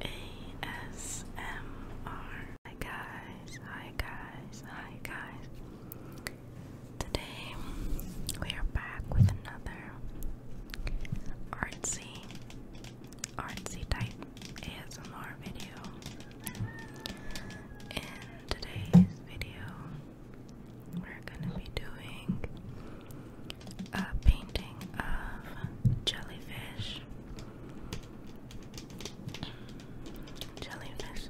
ASMR. Hi guys, hi guys, hi guys. Today we are back with another artsy, artsy type ASMR video. In today's video, we're gonna be doing a painting of jellyfish. Jellyfish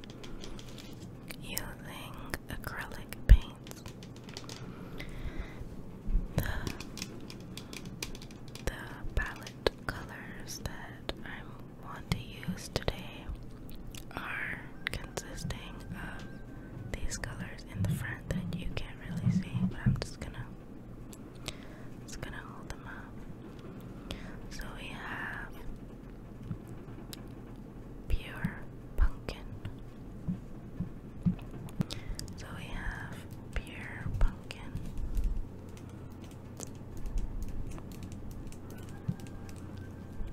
using acrylic paints. The, the palette colors that I want to use today are consisting of these colors in the front that you can't really see, but I'm just gonna just gonna hold them up. So we have pure pumpkin. So we have pure pumpkin.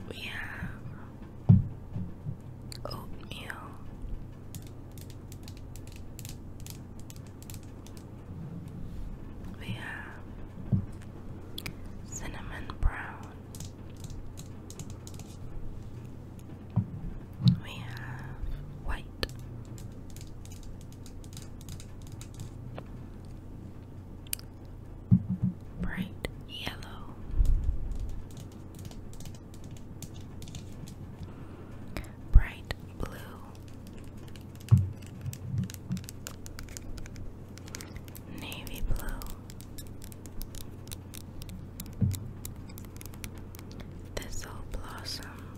We oatmeal. We have cinnamon brown. We have white. Bright yellow, Bright blue, navy blue, thistle blossom,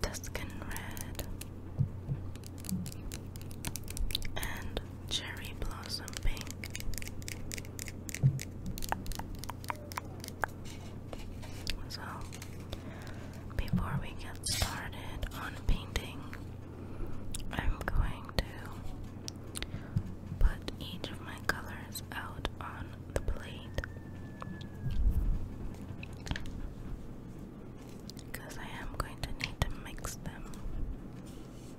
Tuscan red, and cherry blossom pink. So, before we get started on painting, I'm going to put each of my colors out on the plate. Because I am going to need to mix them.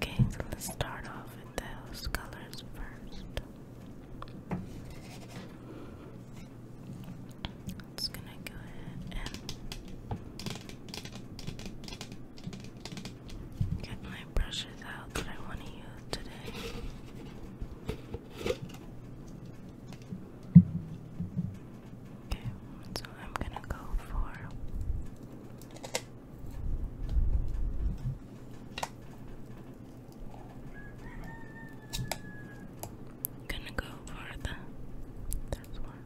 Okay, let's start off with those colors first. It's gonna go ahead and get my brushes out that I want to use today. Okay, so I'm gonna go for Gonna go for the that's one.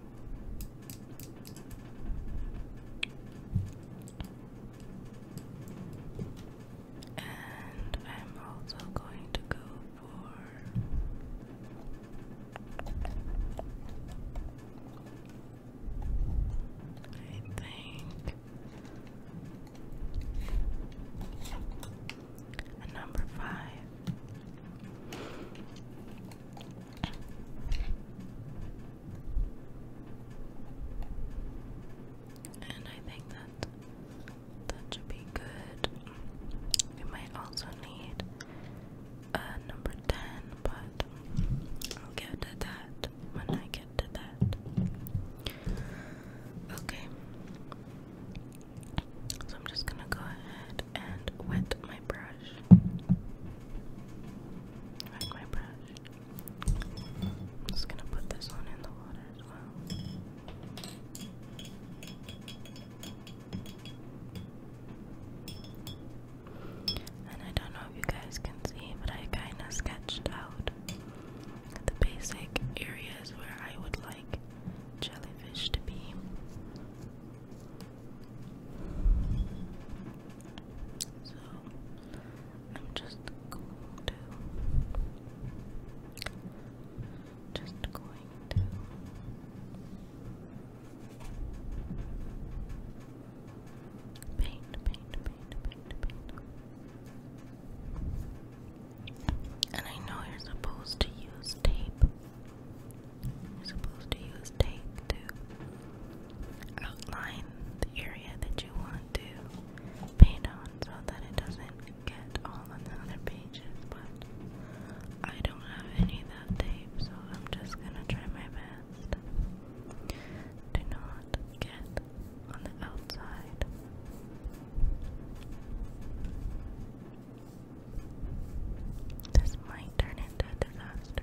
And I'm also going to go for I think number five. And I think that that should be good. We might also need a number 10, but I'll get to that when I get get that. Okay. So I'm just gonna go ahead and wet my brush. Wet my brush. just gonna put this one in the water as well and I don't know if you guys can see, but I kind of sketched out the basic areas where I would like jellyfish to be. So I'm just going to just going to paint, paint, paint, paint, paint. And I know you're supposed to use tape. You're supposed to use tape to outline the area that you want to paint on so that it doesn't get on the other pages, but I don't have any of that tape, so I'm just gonna try my best to not get on the This might turn into a disaster.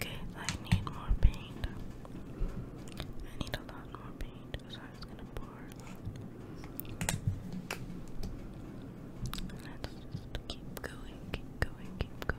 Okay, I need more paint. I need a lot more paint, so I'm just gonna pour Let's just keep going, keep going, keep going.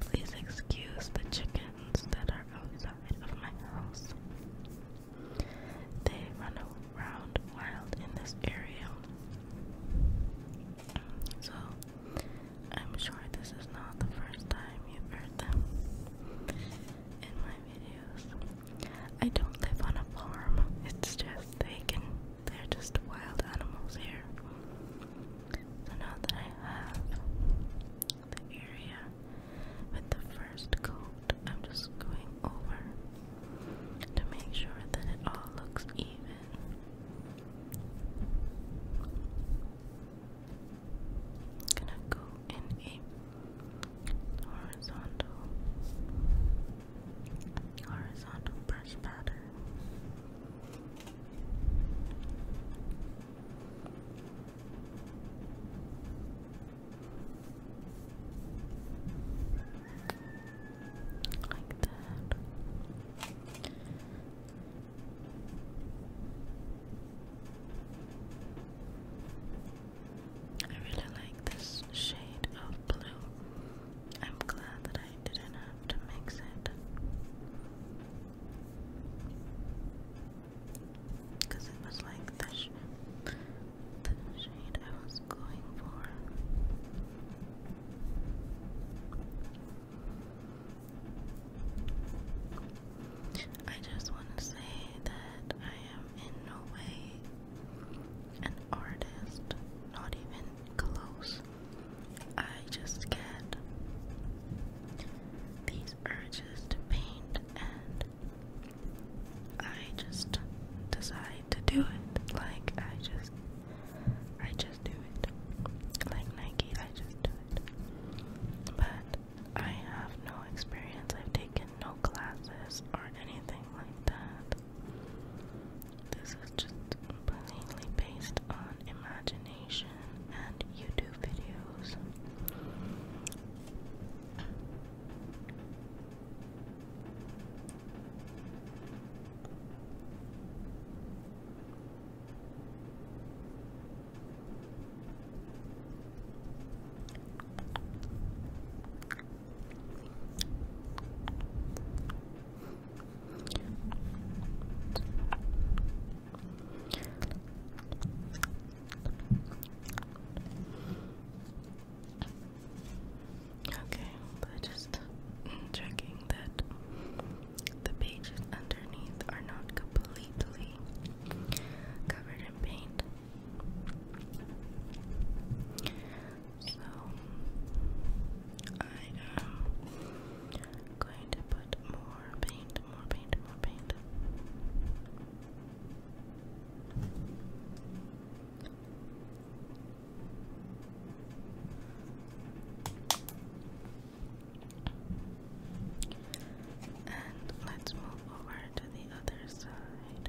Please excuse the chickens that are outside of my house. They run around wild in this area. So, I'm sure this is not the first time you've heard them in my videos. I don't live on a farm, it's just they can they're just wild animals here. So now that I have the area with the first coat, I'm just going over to make sure that it all looks even. gonna go in a horizontal horizontal brush pattern like that. I really like this shade of blue. I'm glad that I didn't have to mix it. it was like the shade I was going for. I just want to say that I am in no way an artist, not even close. I just get these urges to paint and I just decide to do it. Like I just I just do it. Like Nike, I just But I have no experience. I've taken no classes or anything like that. This is just plainly based on imagination and YouTube videos. Okay, but just checking that the pages underneath are not completely covered in paint. So I am um, I'm going to put more paint, more paint, more paint. And let's move over to the other side.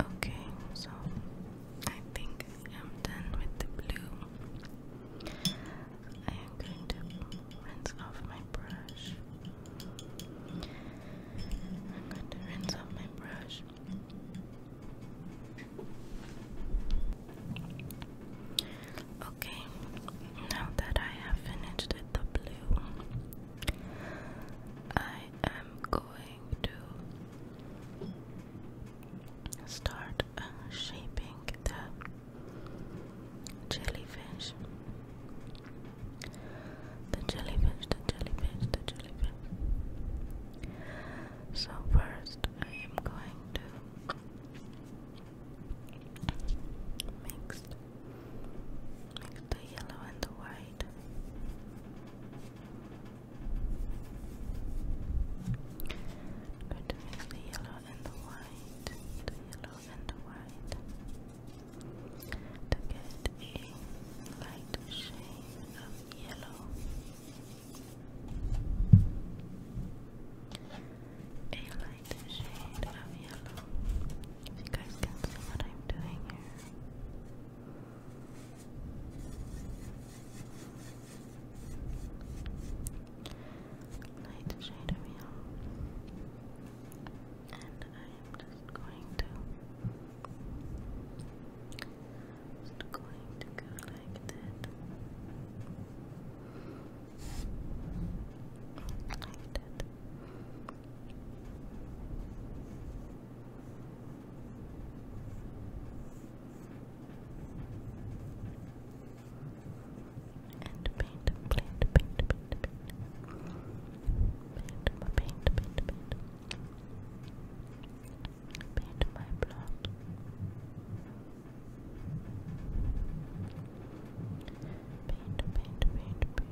Okay, so I think I'm done with the blue. I am going to rinse off my brush. I'm going to rinse off my brush. Okay, now that I have finished with the blue, I am going to start uh, shaping the jellyfish. The jellyfish, the jellyfish, the jellyfish. So, first, I am going to mix, the yellow and the white. going to mix the yellow and the white, the yellow and the white, get a light shade of yellow, like shade of yellow. If you guys can see what I'm doing here. Light shade of yellow. And I'm just going to just going to go like that. Like that. And paint, paint, paint, paint, paint. Paint my paint, paint, paint. Paint my blood. Paint, paint, paint, paint.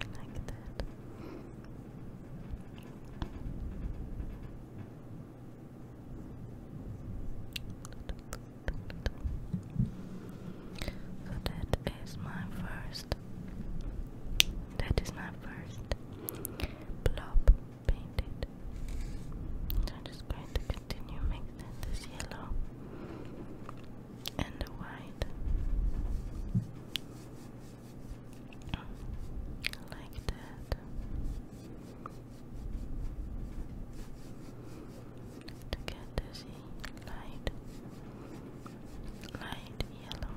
Like that. So that is my first. That is my first blob painted. So I'm just going to continue making this yellow and white like that. To get this light, light yellow,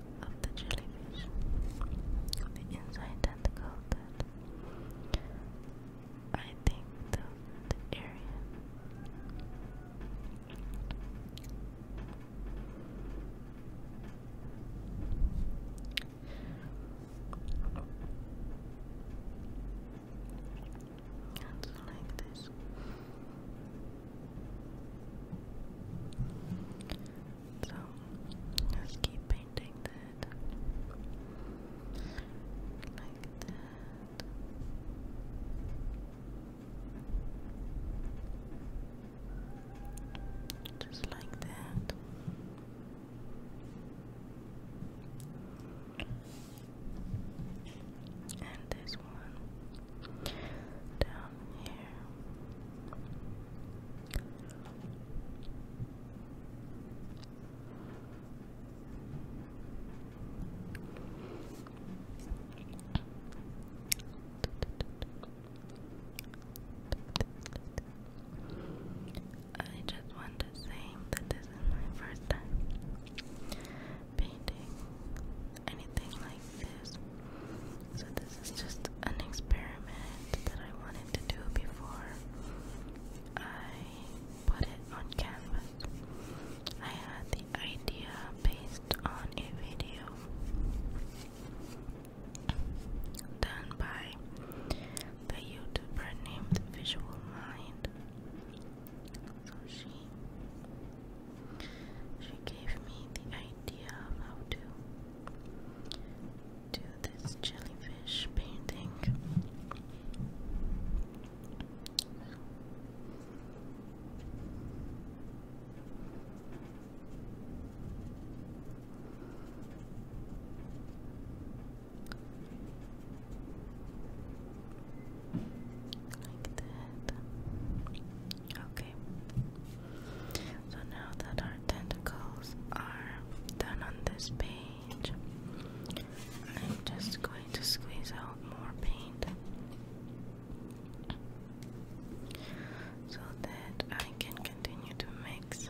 of the jellyfish on the inside and coated. I think the, area and like this. So let keep painting that like that. Just like that. And this one down down here. I just want to say that this is my first time painting anything like this. So this is just an experiment that I wanted to do before I put it on canvas. I had the idea based on a video done by the YouTuber named Visual Mind. So she she gave me the idea how to do this jellyfish painting. Like that. So now that our tentacles are done on this page, I'm just going to squeeze out more paint so that I can continue to mix.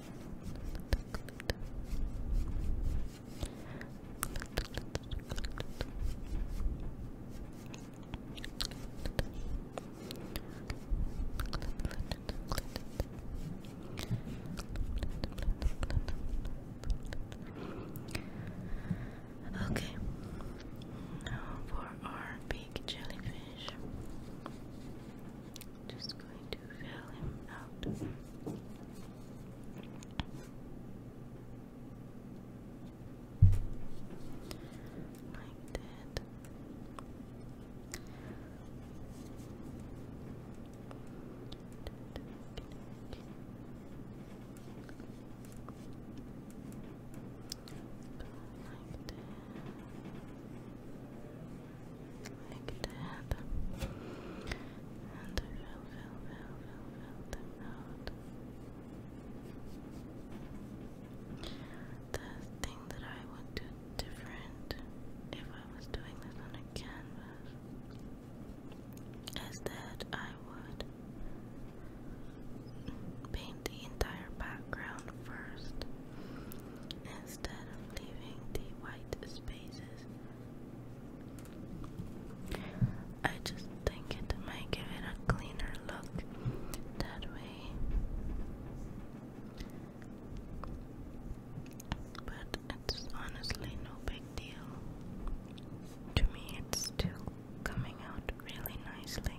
Okay, now for our big jellyfish. Just going to fill him out. Like that. Like that. And fill, fill, fill, fill, fill them out. The thing that I would do different if I was doing this on a canvas is that I would paint the entire background first instead of leaving the white spaces. I just think it might give it a cleaner look that way. But it's honestly no big deal. To me, it's still coming out really nicely.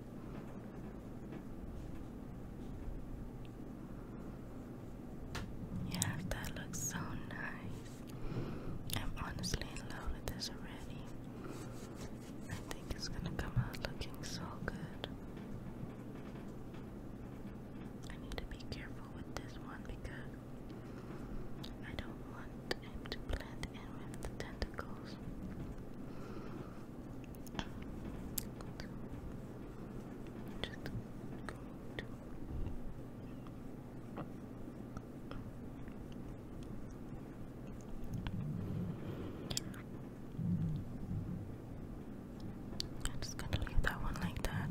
Yeah, that looks so nice. I'm honestly in love with this already. I think it's gonna come out looking so good. I need to be careful with this one because I don't want him to blend in with the tentacles. I'm just gonna leave that one like that.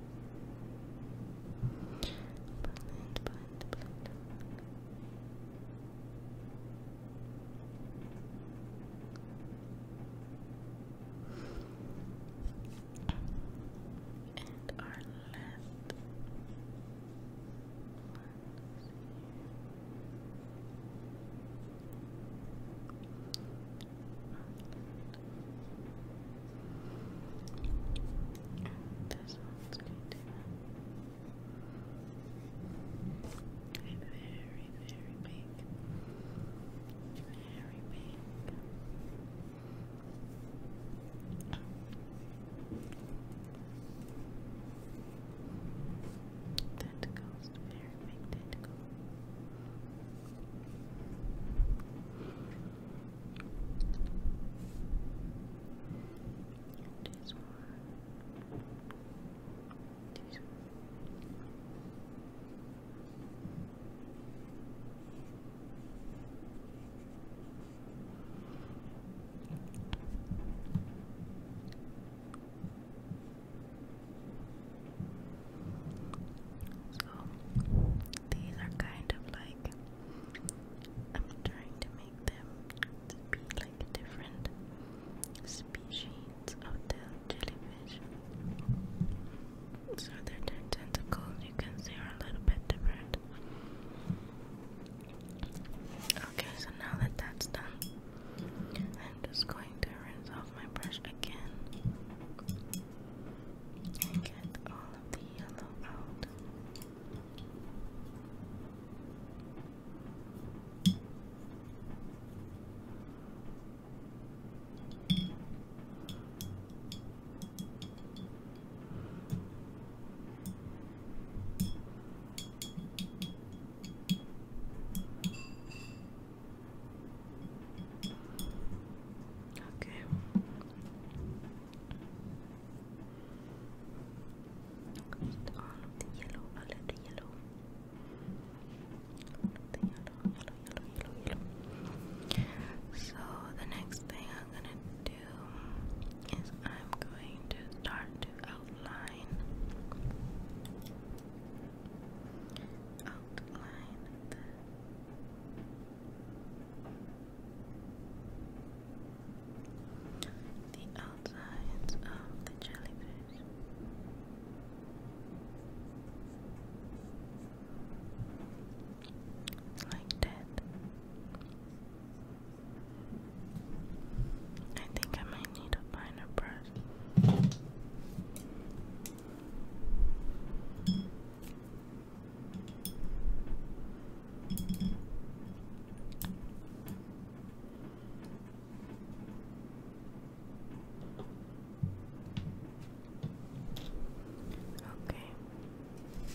blend, blend, And our last this one's very, very big. Very big. Tentacles, very big and this So these are kind of like I'm trying to make them be like different species of the jellyfish. So their tentacles you can see are a little bit different. Okay, so now that that's done, I'm just going to rinse off my brush again get all of the yellow out. Okay. So the next thing I'm gonna do is I'm going to start to outline the outsides of the jellyfish. Like that. I think I might need a finer brush. Okay. So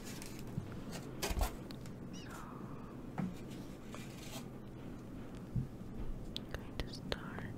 going to start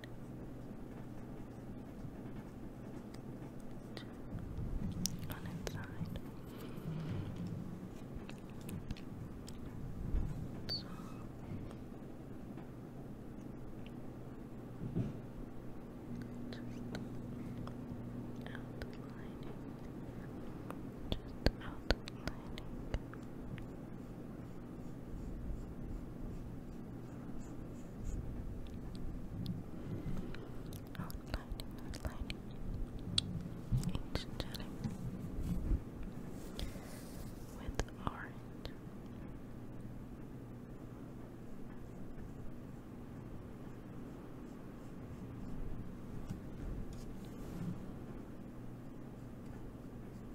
on its So just outlining. Just outlining Outlining, outlining. with Orange,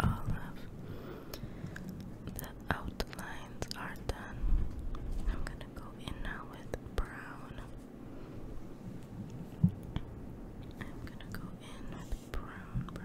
All of the outlines are done. I'm gonna go in now with brown. I'm gonna go in with brown,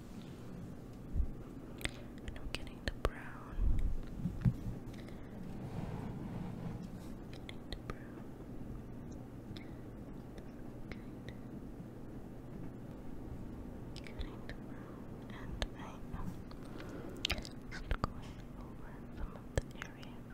And i getting the brown. Getting the brown. Getting the brown. And I am going over some of the areas.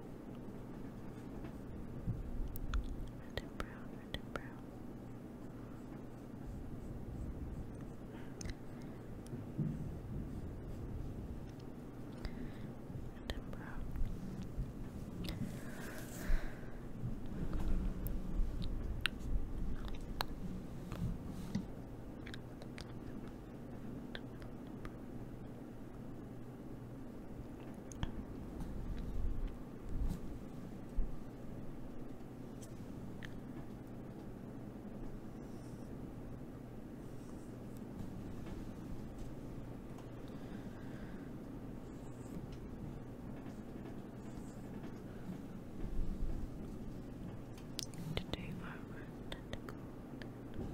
Red and brown, and brown. and brown. To do our technical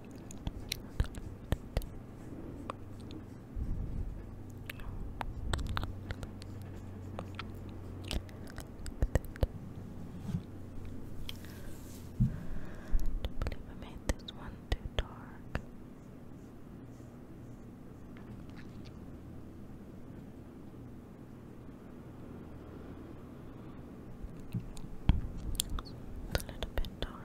I believe I made this one too dark. It's a little bit dark.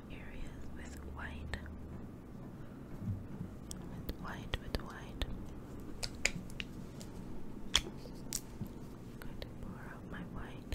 areas with white, with white, with white. going to pour out my white.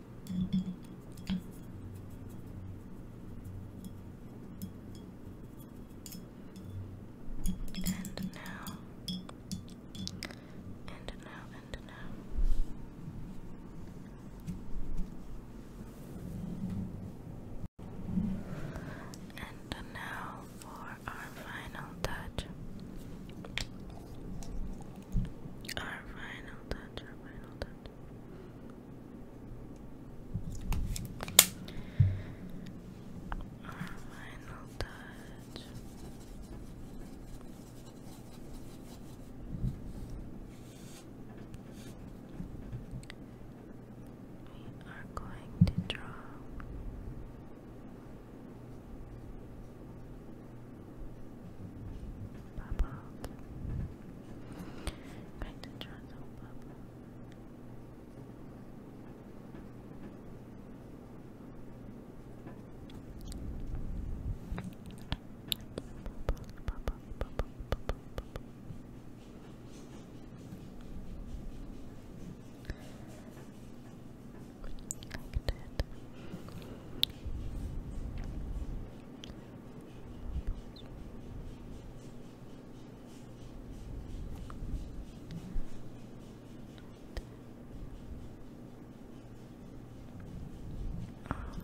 And now, and now, and now. And now for our final touch. Our final touch, our final touch. Our final touch. We are going to draw bubbles. I'm going to draw some bubbles. Bubbles, bubbles, bubbles, bubbles, bubbles. Like around me. All around me.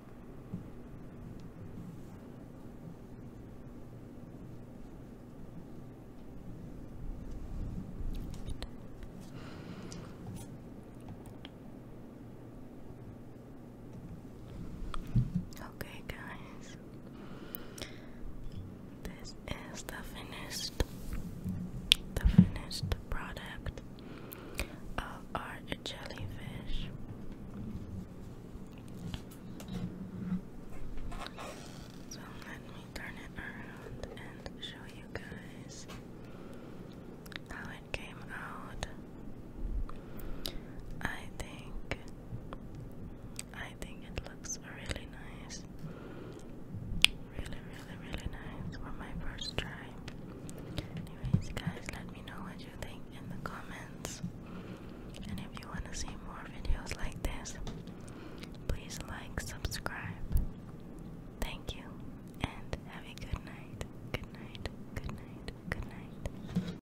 Okay, guys, this is the finished, the finished product our jellyfish. So let me turn it around and show you guys how it came out. I think I think it looks really nice. Really, really, really nice for my first try. Anyways, guys, let me know what you think in the comments. And if you want to see more videos like this, please like, subscribe. Thank you, and have a good night. Good night, good night, good night.